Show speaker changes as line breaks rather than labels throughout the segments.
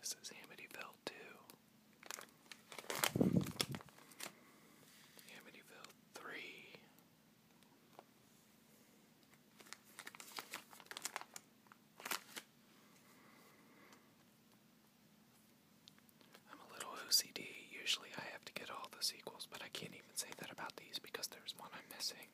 This is Amityville two. Amityville three. I'm a little OCD. Usually I have to get all the sequels, but I can't even say that about these because there's one I'm missing.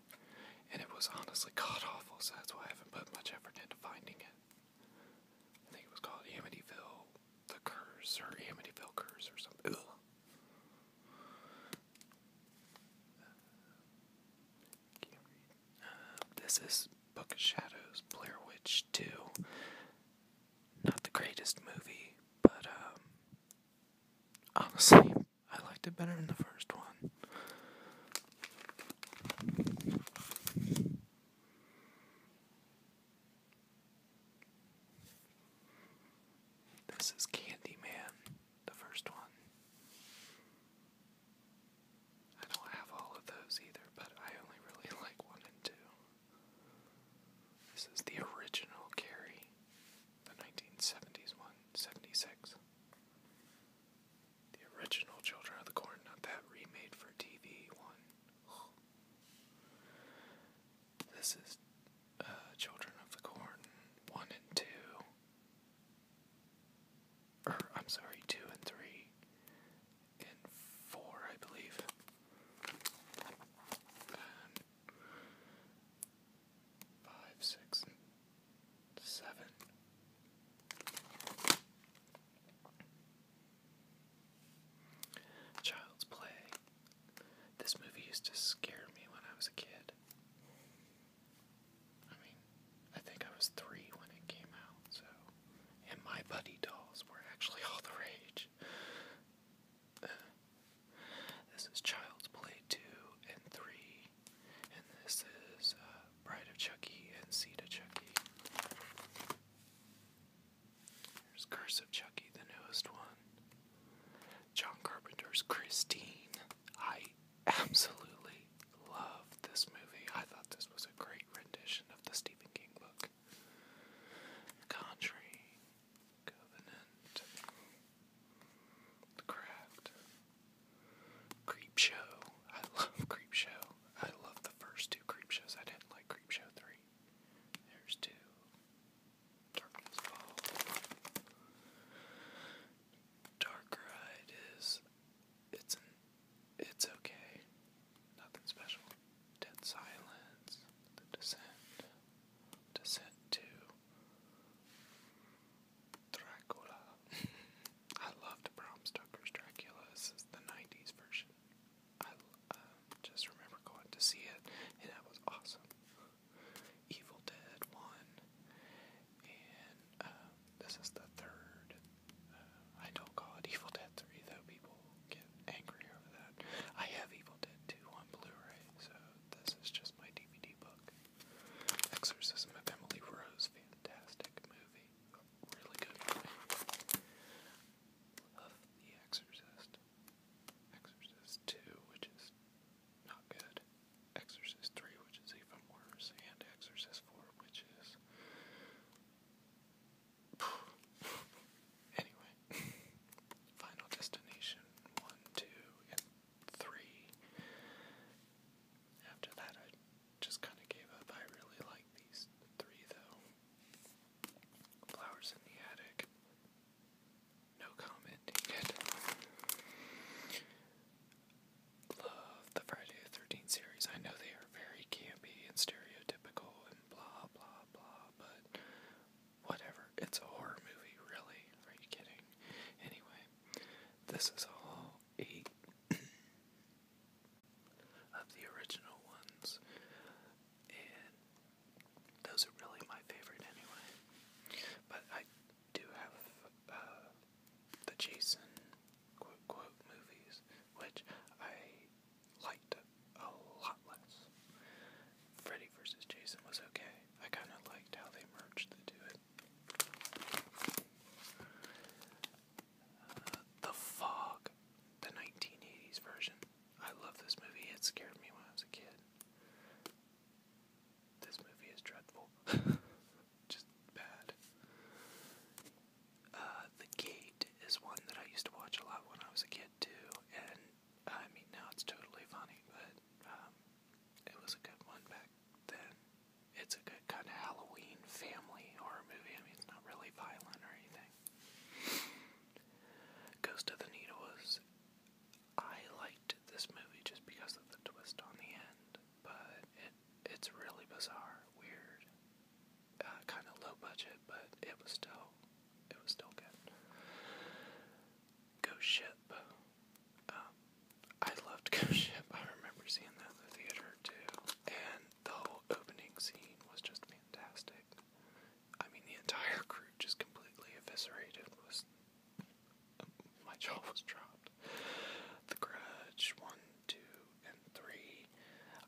And it was honestly god awful, so that's why I haven't put much effort into finding it. I think it was called Amityville The Curse or Amityville Curse or something. Uh, this is Book of Shadows, Blair Witch 2. Not the greatest movie, but um, Honestly, I liked it better in the first one. This is Candyman, the first one. I don't have all of those either, but I only really like one and two. This is the original Carrie, the 1970s one, 76. The original Children of the Corn, not that remade for TV one. This is uh, Children of the Corn 1 and 2. Or, er, I'm sorry, 2 and 3. And 4, I believe five, six, seven. Child's Play. This movie used to scare me when I was a kid. I mean, I think I was three when it came out, so. And my buddy dolls were actually all the rage. This is Child's Play 2 and 3. And this is uh, Bride of Chucky and Seed Chucky. There's Curse of Chucky, the newest one. John Carpenter's Christine. I absolutely love this movie. I thought this was a great rendition of the Stephen King book. Conjuring. Covenant, The Craft, Creep Show. I love Creep Show. I love the first two Creep Shows. I didn't like Creep Show 3. There's two. Darkness Fall. Dark Ride is it's it's okay. Nothing special. Dead Silence. The Descent to send to Dracula. I loved Bram Stoker's Dracula. This is the 90s version. I um, just remember going to see it, and that was awesome. Evil Dead 1, um, this is the third. Uh, I don't call it Evil Dead 3, though, people get angry over that. I have Evil Dead 2 on Blu-ray, so this is just my DVD book. Exorcism of Emily Rose, fantastic movie. Really good movie. Love The Exorcist. Exorcist 2, which is not good. Exorcist 3, which is even worse. And Exorcist 4, which is... anyway, Final Destination 1, 2, and 3. After that, I just kind of gave up. I really like these three, though. Flowers in the Attic. No comment needed. Love the Friday the 13th series. I know they are very campy and stereotypical and blah, blah, blah, but Whatever. It's a horror movie, really. Are you kidding? Anyway, this is all eight of the original ones. And those are really my favorite anyway. But I do have uh, the Jason quote quote movies, which I liked a lot less. Freddy vs. Jason was okay. I kind of liked how they merged the two. Uh, the Fog, the 1980s version. I love this movie. It scared me when I was a kid. This movie is dreadful. Just bad. Uh, the Gate is one that I used to watch a lot when I was a kid, too, and I mean, now it's totally funny, but um, it was a good one back then. It's a good kind of Halloween family horror movie. I mean, it's not really violent or anything. Ghost of the Needle was. I liked this movie just because of the twist on the end, but it it's really bizarre, weird, uh, kind of low budget, but it was still it was still good. Ghost Ship. Um, I loved Ghost Ship. I remember seeing that in theater too. And the whole opening scene was just fantastic. I mean, the entire crew just completely eviscerated My jaw was dropped. The Grudge, one, two, and three.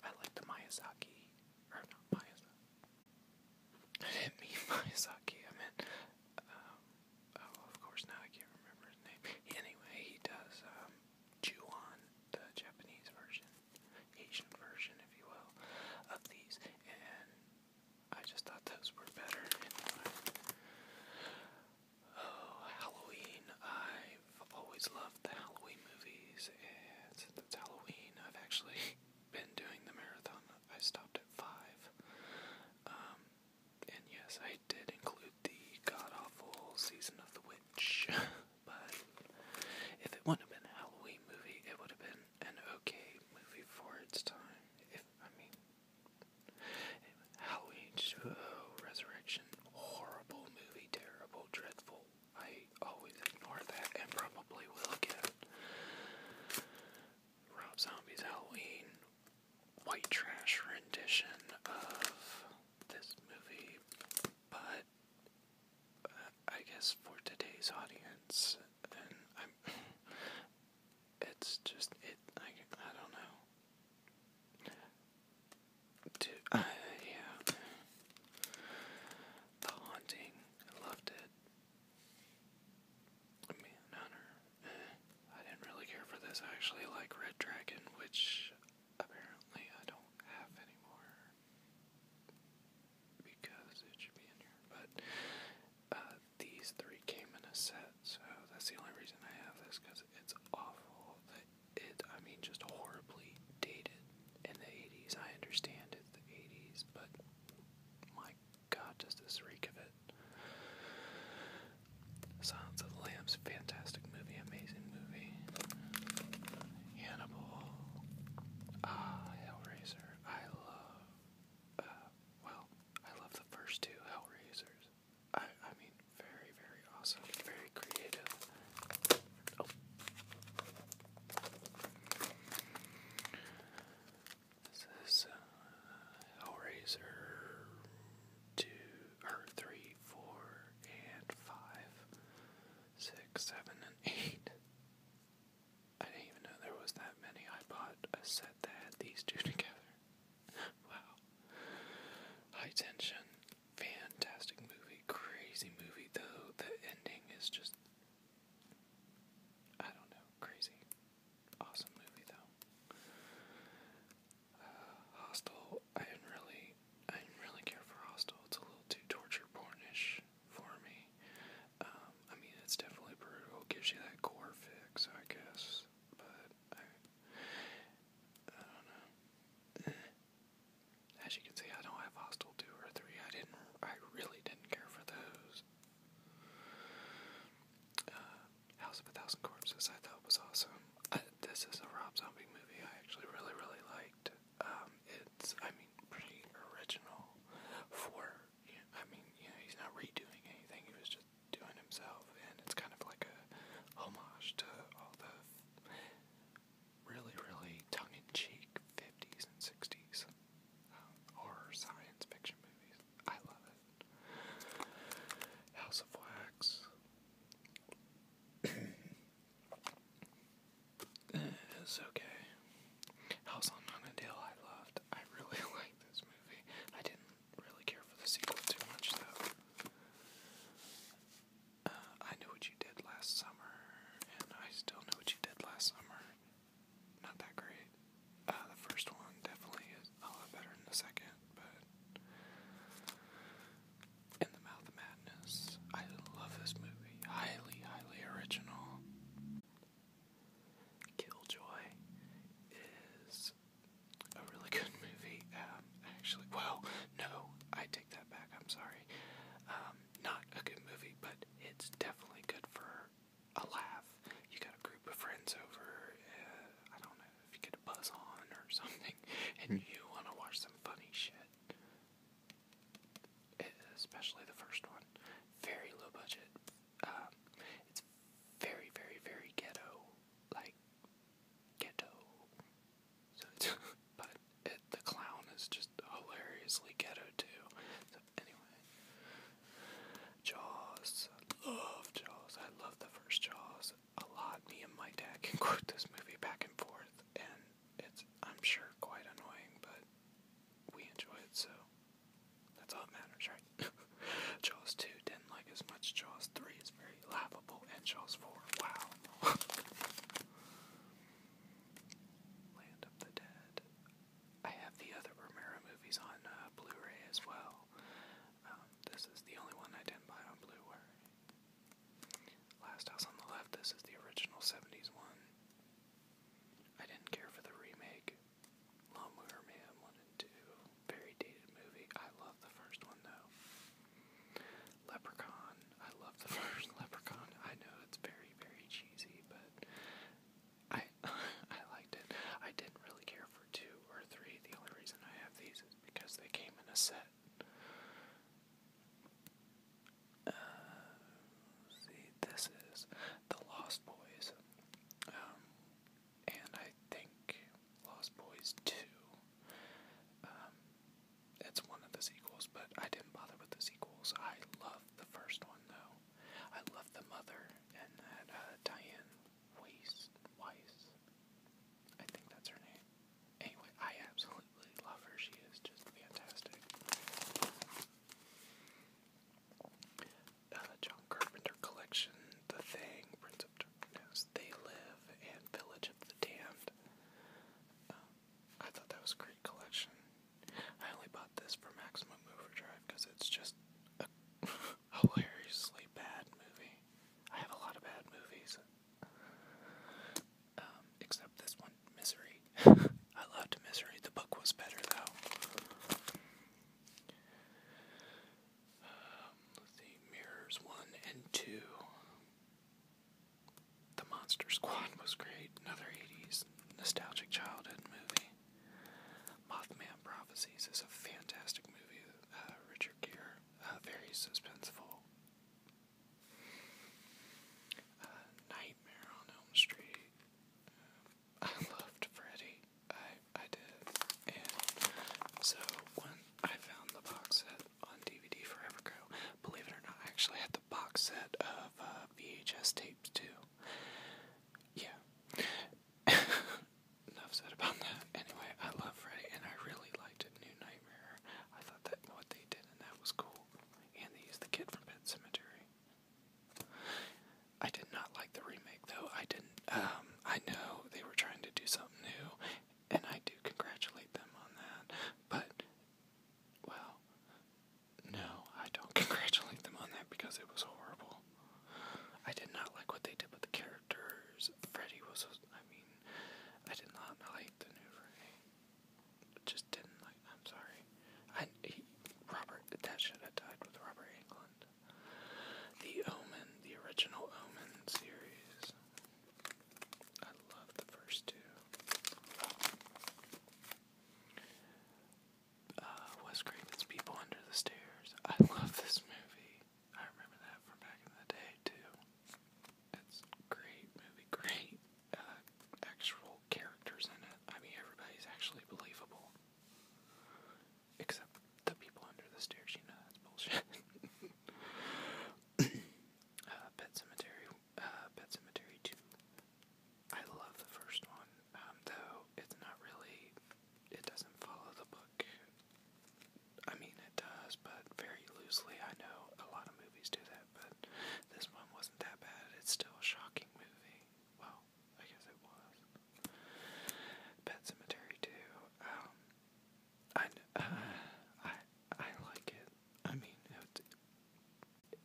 I like the Miyazaki, or not Miyazaki, I didn't I meant, oh, of course now I can't remember his name. Anyway, he does, um, the Japanese version, Asian version, if you will, of these, and I just thought those were better. Oh, Halloween, I've always loved the Halloween movies, and since Halloween, I've actually been doing the marathon. I stopped at five. Um, and yes, I did include the god awful season of the witch, but if it wouldn't have been a Halloween movie, it would have been an okay movie for its time. If I mean, Halloween, oh, Resurrection, horrible movie, terrible, dreadful, I always ignore that and probably will again. Rob Zombie's Halloween white trash rendition of this movie, but uh, I guess for today's audience, it's just it. I, I don't know. To, uh, yeah, The Haunting, I loved it. Man I didn't really care for this. I actually like Red Dragon, which apparently I don't have anymore because it should be in here. But uh, these three came in a set, so that's the only reason I have this because it's awful. It, I mean, just horribly dated in the 80s. I understand it's the 80s, but my god, does this reek of it. Silence of the Lambs, fantastic movie, amazing movie. Hannibal. Ah, Hellraiser. I love. Uh, well, I love the first two Hellraisers. I, I mean, very, very awesome. Very creative. Oh. This is uh, Hellraiser two or three, four, and five, six, seven, and eight. I didn't even know there was that many. I bought a set that had these two together. wow. High tension, fantastic movie, crazy movie though. The ending is just I don't know, crazy. Awesome movie though. Uh, Hostel, I didn't really, I didn't really care for Hostel. It's a little too torture pornish for me. Um, I mean, it's definitely brutal. Gives you that core fix, I guess. But I don't know. Eh. As you can see, I don't have Hostel two or three. I didn't I really didn't care for those. Uh, House of a Thousand Corpses I thought was awesome. Uh, this is a Rob Zombie movie I actually really, really liked. Um, it's, I mean, pretty original for, you I mean, you he's not redoing anything, he was just doing himself, and it's kind of like a homage to all the really, really tongue in cheek 50s and 60s um, or science fiction movies. I love it. House of Wax. it's okay. House on Haunted Hill I loved. I really liked this movie. I didn't really care for the sequel too much though. Uh, I knew what you did last summer, and I still know what you did last summer, not that great. Uh, the first one definitely is a lot better than the second, but In the Mouth of Madness, I love this movie. Highly, highly original. Killjoy is a really good movie. Um, actually, well, no, I take that back. I'm sorry. Um, not a good movie, but it's definitely good for a laugh. You got a group of friends over, uh, I don't know, if you get a buzz on or something, and you want to watch some funny shit. especially the first one. Very low budget. Um, it's very, very, very ghetto. Like, ghetto. So it's, but it, the clown is just hilariously ghetto too. anyway, Jaws. I love Jaws. I love the first Jaws a lot. Me and my dad can quote this movie back and forth, and it's I'm sure quite annoying, but we enjoy it so. That's all that matters, right? Jaws 2 didn't like as much. Jaws 3 is very laughable. And Jaws 4, wow. Land of the Dead. I have the other Romero movies on uh, Blu ray as well. Um, this is the only one I didn't buy on Blu ray. Last House on the Left, this is the original 70s one. I didn't care for the remake. Lawnmower Man 1 and 2. Very dated movie. I love the first one though. Leprechaun. I love the first Leprechaun. I know it's very very, cheesy, but I I liked it. I didn't really care for two or three. The only reason I have these is because they came in a set. Uh, see, this is The Lost Boys. Um, and I think Lost Boys 2. Um, it's one of the sequels, but I didn't bother with the sequels. I love the first one though. I love the mother and that uh, Diane Weiss, Weiss. I think that's her name. Anyway, I absolutely love her. She is just fantastic. Uh, John Carpenter collection, The Thing, Prince of Darkness, They Live, and Village of the Damned. Um, I thought that was a great collection. I only bought this for Maximum Overdrive because it's just a hilariously bad movie. I have a lot of bad movies. Um, except this one, Misery. I loved Misery. The book was better though. Um, let's see, Mirrors 1 and 2. The Monster Squad was great. Another 80s nostalgic childhood movie. Mothman Prophecies is a fantastic movie. Uh, Richard Gere, uh, very suspenseful. Uh, Nightmare on Elm Street. I loved Freddy. I I did, and so when I found the box set on DVD forever ago, believe it or not, I actually had the box set of uh, VHS tapes, too. Yeah. Enough said about that. Anyway, I love Freddy, and I really liked it. New Nightmare. I thought that what they did and that was cool. And they used the kid from Pet Cemetery. I did not like the remake, though. I didn't. Um, I know they were trying to do something new, and I do congratulate them on that. But, well, no, I don't congratulate them on that because it was horrible. I did not like what they did with the characters. Freddy was, I mean, I did not like the new Freddy. Just didn't like. I'm sorry. I he, Robert that should have died with Robert Englund. The Omen, the original Omen series. I love the first two uh, was Craven's People Under the Stairs. I love this movie. I remember that from back in the day, too. It's great movie, great uh, actual characters in it. I mean, everybody's actually believable. Except the people under the stairs, you know, that's bullshit. Uh, Pet Cemetery uh, Pet Cemetery 2. I love the first one, um, though it's not really, it doesn't follow the book. I mean, it does, but very loosely. I know a lot of movies do that, but this one wasn't that bad. It's still a shocking movie. Well, I guess it was. Pet Cemetery 2. Um, I, I, I like it. I mean,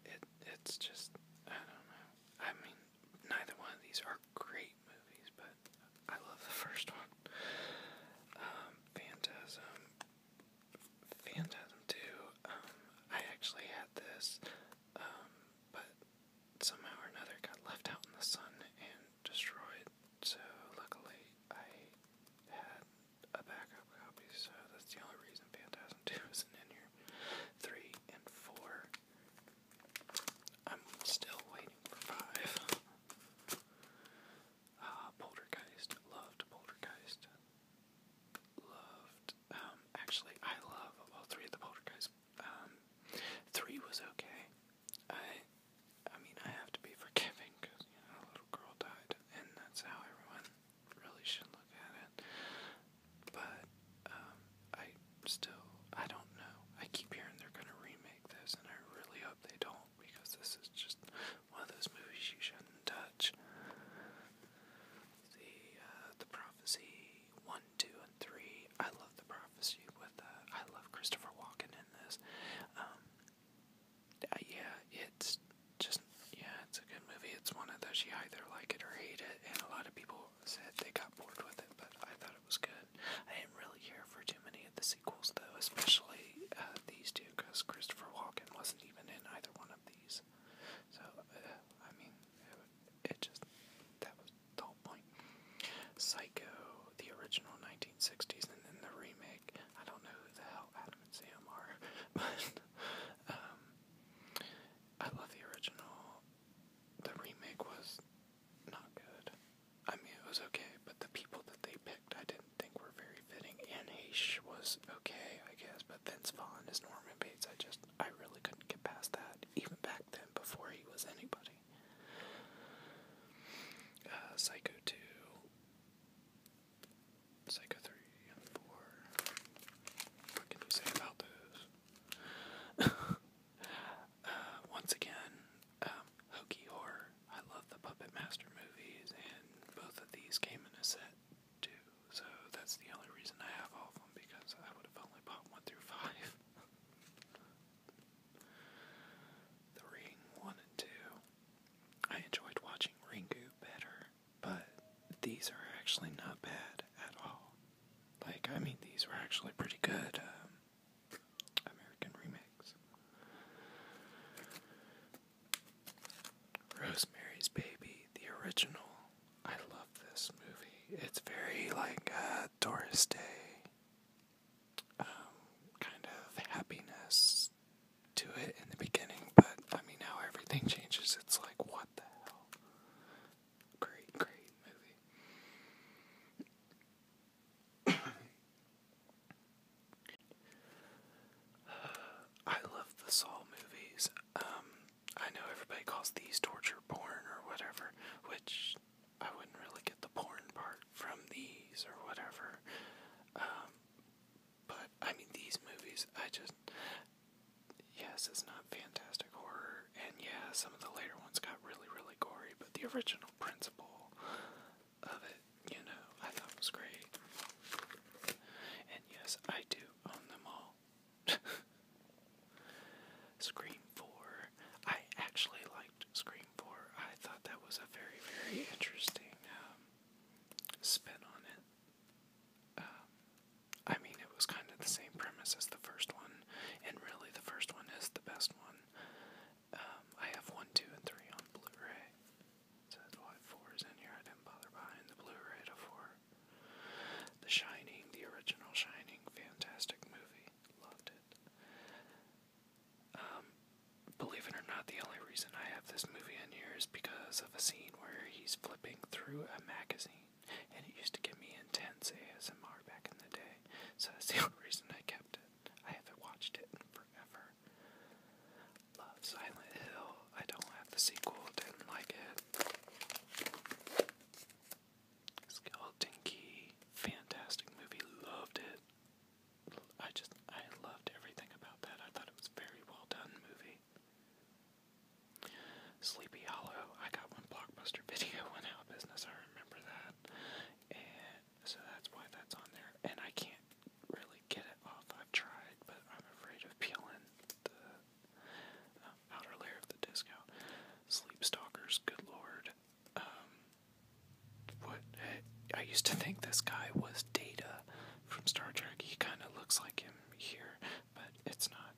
it it's just I don't know. I mean, neither one of these are great movies, but I love the first one. Um, Phantasm, Phantasm Two. Um, I actually had this, um, but somehow or another got left out in the sun and destroyed. So luckily, I had a backup copy, so that's the only reason Phantasm 2 isn't in here. 3 and 4. I'm still waiting for 5. Uh, Poltergeist. Loved Poltergeist. Loved. Um, actually, I love all three of the Poltergeists. Um, three was okay. I, I mean, I have to be forgiving because you know a little girl died, and that's how everyone really should look at it. But um, I still, I don't know. I keep hearing they're going to remake this, and I really hope they don't because this is just one of those movies you shouldn't touch. The uh, the prophecy one, two, and three. I love the prophecy with. Uh, I love Christopher Walken in this. Um, yeah, it's just yeah, it's a good movie. It's one of those you either like it or hate it, and a lot of people said they got bored with it, but I thought it was good. I didn't really care for too many of the sequels though, especially uh, these two, because Christopher Walken wasn't even in either one of these. So uh, I mean, it, it just that was the whole point. Psycho, the original 1960s, and then the remake. I don't know who the hell Adam and Sam are, but um, I love the original. The remake was not good. I mean, it was okay, but the people that they picked I didn't think were very fitting. Anne Heche was okay, I guess, but Vince Vaughn as Norman Bates, I just, I really couldn't get past that, even back then, before he was anybody. Uh, Psycho 2. Psycho 3 and 4. What can you say about those? Uh, once again, um, hokey horror. I love the Puppet Master movies, and both of these came in a set too. So that's the only reason I have all of them because I would have only bought one through five. the 1 and 2. I enjoyed watching Ringu better but these are actually not bad at all. Like, I mean, these were actually pretty good um, American remakes. Rosemary's Baby, the original. I love this movie. It's very like a uh, Doris Day, um, kind of happiness to it in the beginning, but I mean, now everything changes, it's like, what the hell? Great, great movie. I love the Saw movies. Um, I know everybody calls these torture porn or whatever, which I wouldn't really get the porn part from these or whatever. Um, but I mean, these movies, I just yes, it's not fantastic horror, and yeah, some of the later ones got really, really gory, but the original principle of it, you know, I thought was great. And yes, I do own them all. Scream 4. I actually liked Scream 4. I thought that was a very, very interesting um, spin on it. Um, I mean, it was kind of the same premise as the first one, and really the first one is the best one. Um, I have 1, 2, and 3 on Blu ray. Says why 4 is in here. I didn't bother buying the Blu ray to 4. The Shining, the original Shining, fantastic movie. Loved it. Um, believe it or not, the only reason I have this movie in here is because of a scene where he's flipping through a magazine, and it used to give me intense ASMR back in the day, so that's the only reason I kept it. I haven't watched it in forever. Love Silent Hill. I don't have the sequel, didn't like it. Skeleton Key. Fantastic movie, loved it. I just, I loved everything about that. I thought it was very well done movie. Sleepy Hollow, I got one Blockbuster Video went out of business, I remember that. And so that's why that's on there. And I can't really get it off. I've tried, but I'm afraid of peeling the uh, outer layer of the disc out. Sleep Stalkers, good lord. Um, what? I used to think this guy was Data from Star Trek. He kind of looks like him here, but it's not.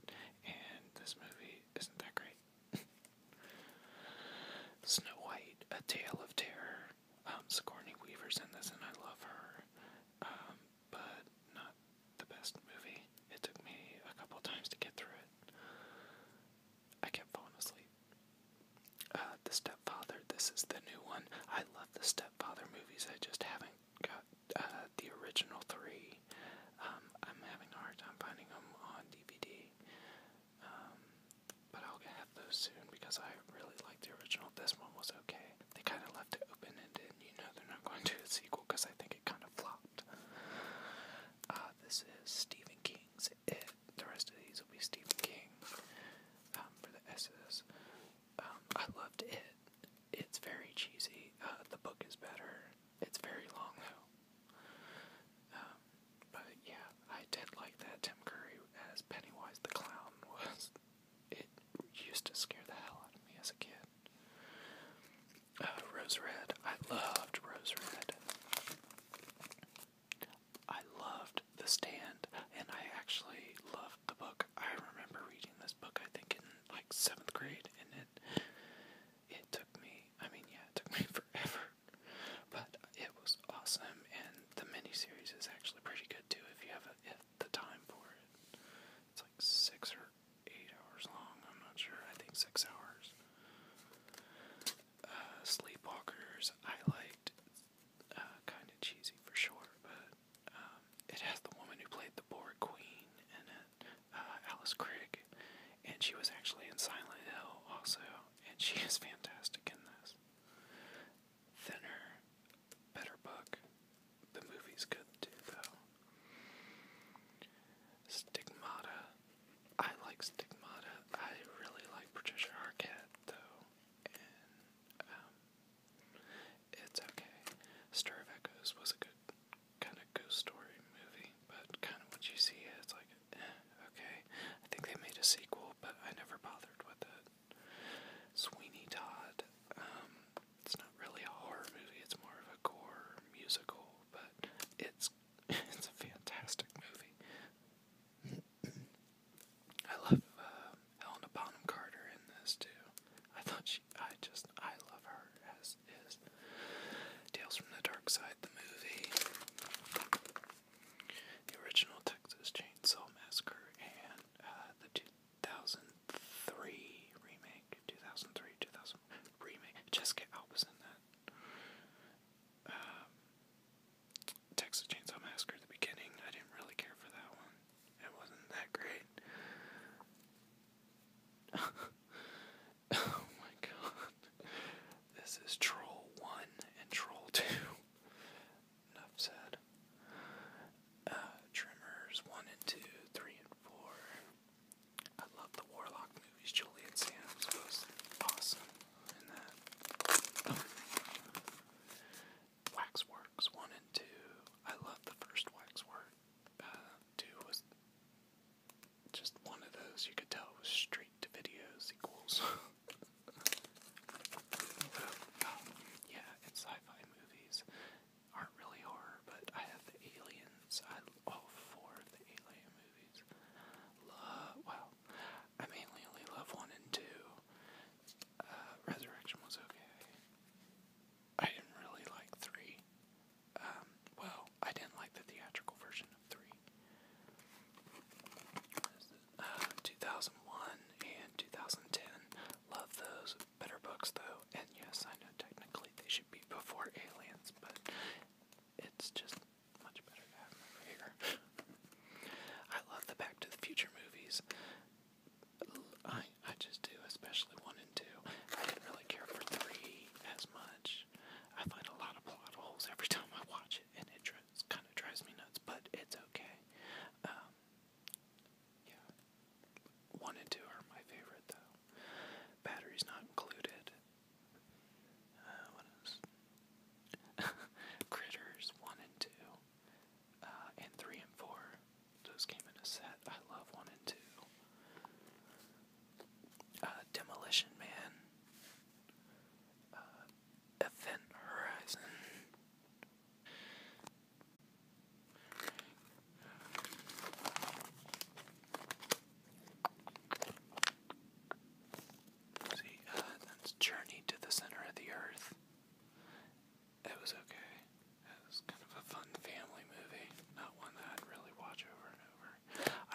And this movie isn't that great. Snow White, A Tale of Terror. Um, Sigourney Weaver's in this, and I love her. Um, but not the best movie. It took me a couple times to get through it. I kept falling asleep. Uh, the Stepfather. This is the new one. I love the Stepfather movies. I just haven't got uh, the original three. Um, I'm having a hard time finding them on DVD, um, but I'll get those soon because I really like the original. This one was okay. They kind of left it open ended. You know they're not going to do a sequel because I think it kind of flopped. Uh, this is Stephen King's It. The rest of these will be Stephen King um, for the S's. I loved It. It's very cheesy. Uh, the book is better. It's very long though. Um, but yeah, I did like that Tim Curry as Pennywise the Clown was. It used to scare the hell out of me as a kid. Uh, Rose Red. I loved Rose Red. I loved The Stand, and I actually loved the book. I remember reading The book I think in like seventh grade, and it it took me. I mean, yeah, it took me forever, but it was awesome. And the miniseries is actually pretty good too if you have if the time for it. It's like six or eight hours long. I'm not sure. I think six hours. Uh, Sleepwalkers, I liked. Uh, kind of cheesy for sure, but um, it has the woman who played the Boar Queen in it, uh, Alice Crick, and she was actually in Silent Hill also, and she is fantastic in this. Thinner, better book. The movie's good too, though. Stigmata. I like Stigmata. I really like Patricia Arquette, though, um, it's okay. Stir of Echoes was a good kind of ghost story movie, but kind of what you see is like, eh, okay. I think they made a sequel, but I never bothered with it. Sweeney Todd, um, it's not really a horror movie, it's more of a gore musical, but it's it's a fantastic movie. I love uh, Helena Bonham Carter in this too. I thought she, I just, I love her as is. Tales from the Dark Side, the movie, the original Texas Chainsaw Massacre, and uh, the 2003 remake, 2003, 2000 remake. Jessica Alba's in that. Um, Texas Chainsaw Massacre, the beginning, I didn't really care for that one. It wasn't that great. oh my god. This is Troll 1 and Troll 2. Enough said. Uh, 1 and 2, 3 and 4. I love the Warlock movies. Julian Sands was awesome in that. Waxworks 1 and 2. I love the first Waxwork. Uh, 2 was just one of those you could tell was straight to videos equals. yeah, and sci fi movies aren't really horror, but I have the aliens. I all four of the alien movies. Love, well, I mainly love 1 and 2. Uh, Resurrection was okay. I didn't really like three. Um, well, I didn't like the theatrical version of three. Uh, 2001 and 2010. Love those better books though, and yes, I know technically they should be before Aliens, but it's just much better to have them over here. I love the Back to the Future movies. I I just do, especially one and two. I didn't really care for three as much. I find a lot of plot holes every time I watch it, and it just kind of drives me nuts. But it's okay. Um, one and two are my favorite though. Batteries not included. Uh, what else? Critters one and two. Uh, and three and four. Those came in a set. I love one and two. Uh, Demolition Man, uh, Event Horizon. See, uh, Journey to the Center of the Earth it was okay. It was kind of a fun family movie, not one that I'd really watch over and over.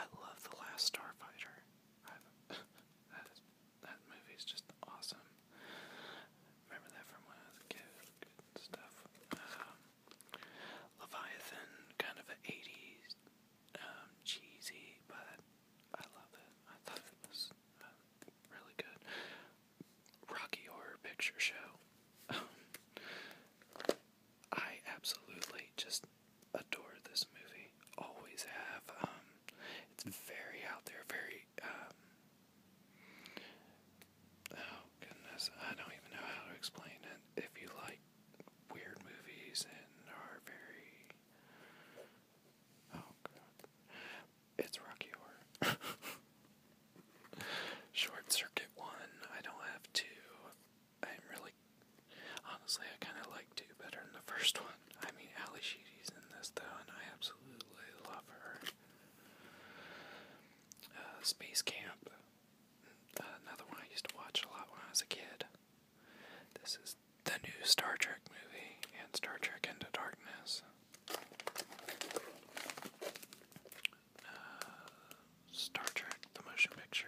I love The Last Starfighter. that, is, that movie's just awesome. Remember that from when I was a kid. Good stuff. Um, Leviathan, kind of an 80s, um, cheesy, but I love it. I thought it was uh, really good. Rocky Horror Picture Show. Um, I absolutely just adore this movie. Always have. Um, it's very out there, very. Um, oh goodness, I don't even know how to explain it. If you like weird movies and are very. Oh god. It's Rocky Horror. Short Circuit 1, I don't have 2. I'm really. Honestly, I kind of like 2 better than the first one. I mean, Ali Sheedy's in this, though, and I absolutely love her. Uh, Space Camp. Uh, another one I used to watch a lot when I was a kid. This is the new Star Trek movie and Star Trek Into Darkness. Uh, Star Trek, the motion picture.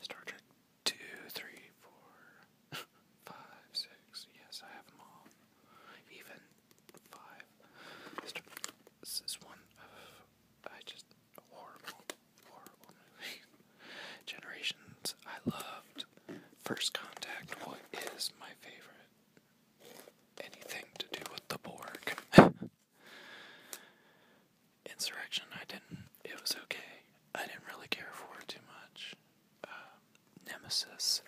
Star Trek 2, Yes, I have them all. Even 5. this is one of. I just. Horrible, horrible movie. Generations, I loved. First Contact what is my favorite anything to do with the Borg. Insurrection, I didn't. It was okay. I didn't really care for it too much. Uh, Nemesis.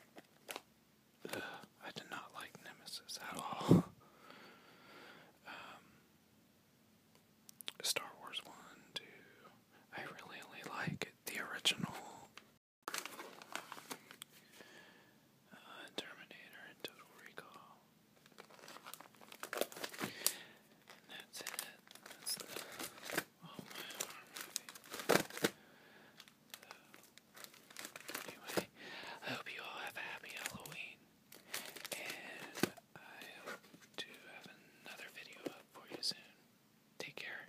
I did not like Nemesis at all. Um, Star Wars 1, 2. I really like the original uh, Terminator and Total Recall. that's it. anyway, I hope you all have a happy Halloween. And I hope to have another video up for you soon. Take care.